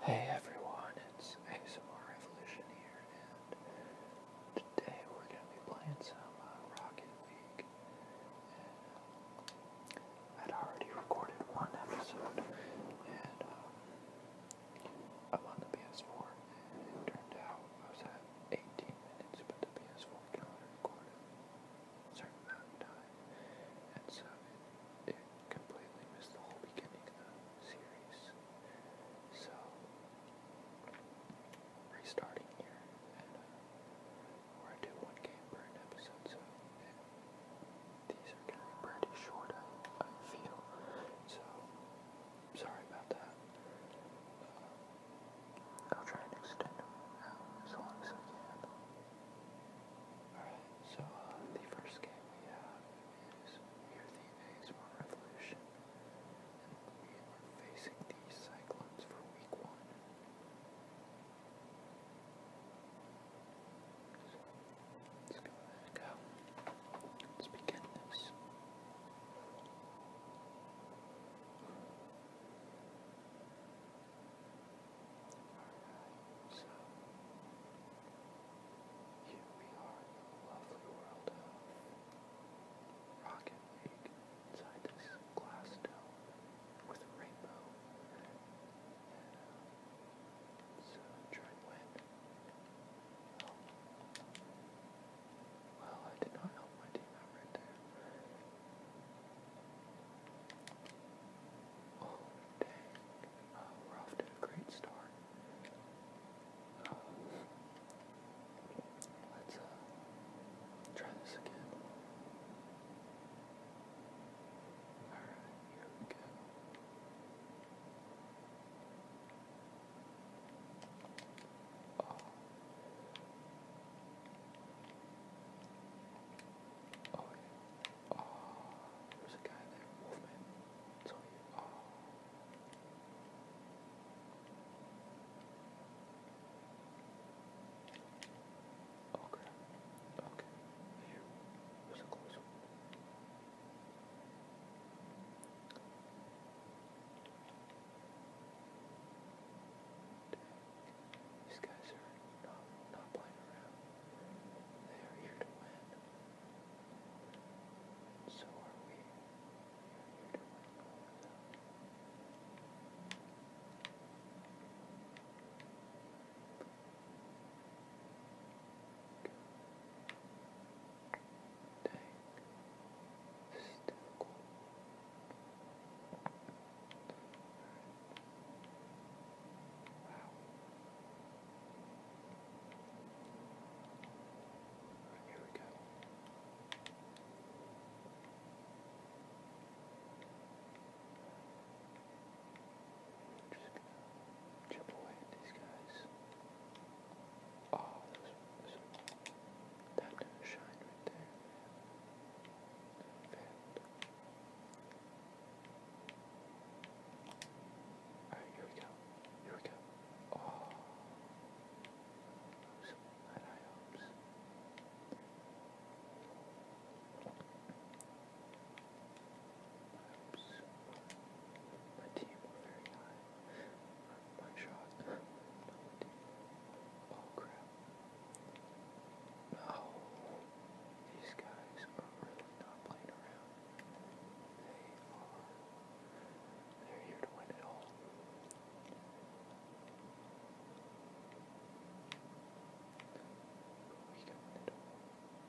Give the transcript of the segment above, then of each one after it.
Hey everyone, it's ASMR Revolution here, and today we're going to be playing some uh, Rocket League. I'd already recorded one episode, and um, I'm on the PS4, and it turned out I was at 18 minutes, but the PS4 can only record certain amount of and so it, completely missed the whole beginning of the series. So, restarting here, and uh, or I one game an episode, so these are going to be pretty short, I, feel. So, sorry about that. Uh, I'll try and extend them as long as I can. Alright, so uh, the first game we have is we are the ASMR Revolution, and we are facing the Cyclones for week one. let's go. Let's begin this. Alright, so here we are in the lovely world of Rocket League inside this glass dome with a rainbow. so try and win. Well, I did not help my team out right there. Oh, dang. Uh, we're off to a great start. let's uh, try this again. Alright, here we go. Oh. Oh, Oh, there's a guy there. Wolfman. Oh, it's you. Oh. Oh, Okay. Here. There's a close one. These guys are not, not playing around. They are here to win. so are we. We are Right, here we go. I'm just gonna chip away at these guys. Oh, there's, there's shine right there. Alright, here we go. Here we go. Oh. So bad I hopes. My hopes. My team were very high my shot. oh crap. No. These guys are not playing around. They are. They're here to win it all. We can it Alright.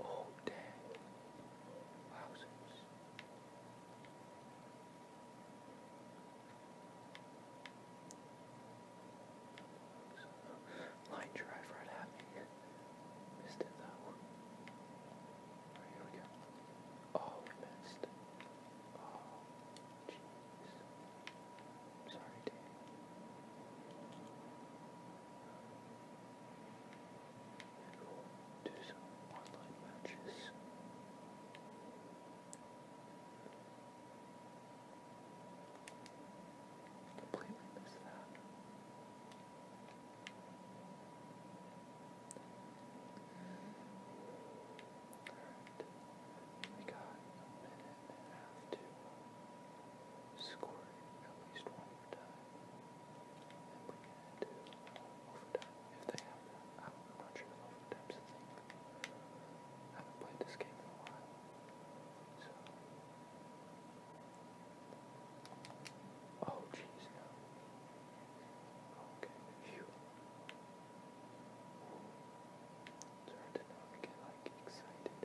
Oh, dang. Wowzers. Line drive right at me. Missed it though. here we go. Oh, we missed. Oh, jeez. Sorry, Dave. do some online matches. Completely missed that. Alright. got a minute and a half to uh, score at least one overtime. And we can do overtime if they have that. I'm not sure if overtime's a thing. I have played this game in a while. So. Oh, jeez, no. Okay, phew. Sorry to not get, like, excited.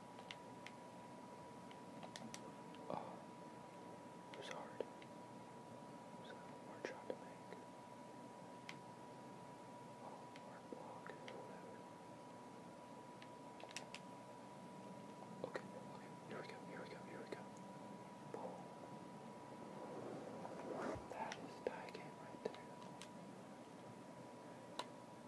Oh, it was hard. It was shot to make. Oh, hard Okay, here we go, here we go, here we go. That is die game right there.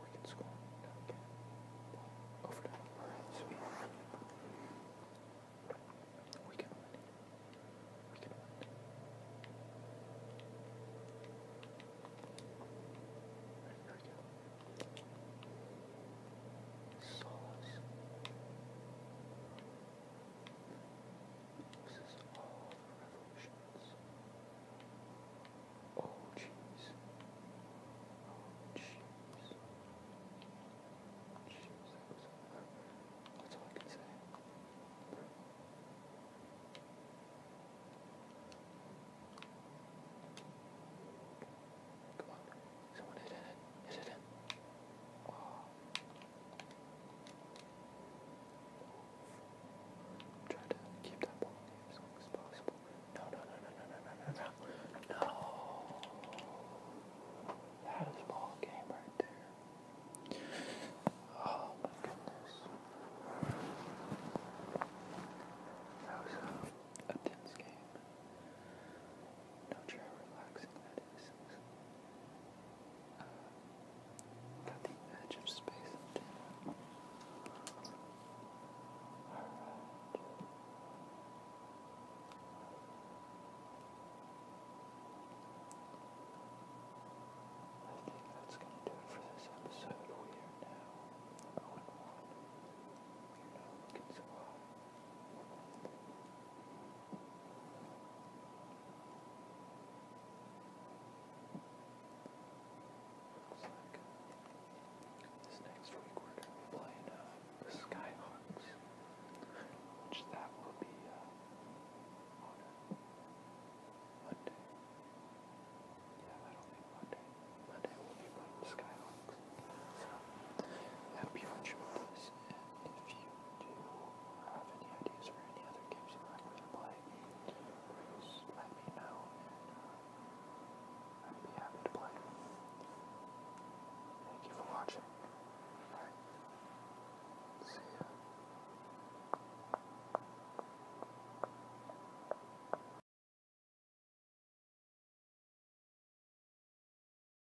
We can scroll down again. Over to Alright, sweet. We can We can here we go. Solos loses all the revolutions. Oh, jeez. Oh, jeez. Jeez, that was That's all I can say. Come on. Someone hit it. Hit it in. Oh, Try to keep that ball in as long as possible. No, no, no, no, no, no, no, no, no. That is ball game right there. Oh my goodness. That was a, tense game. No chair relaxing, that is. Uh, at the edge of space Alright. I think that's going to do it for this episode. We are now 0 and We are not looking so hot. This next week we're going to be playing uh, the Skyhawks, which that will be uh, Monday. Yeah, I don't think Monday. Monday will be playing Skyhawks. So I hope you enjoy this if you do have any ideas for any other games you'd like me to play, please let me know, and I'd be happy to play. Thank you for watching. Alright. See ya.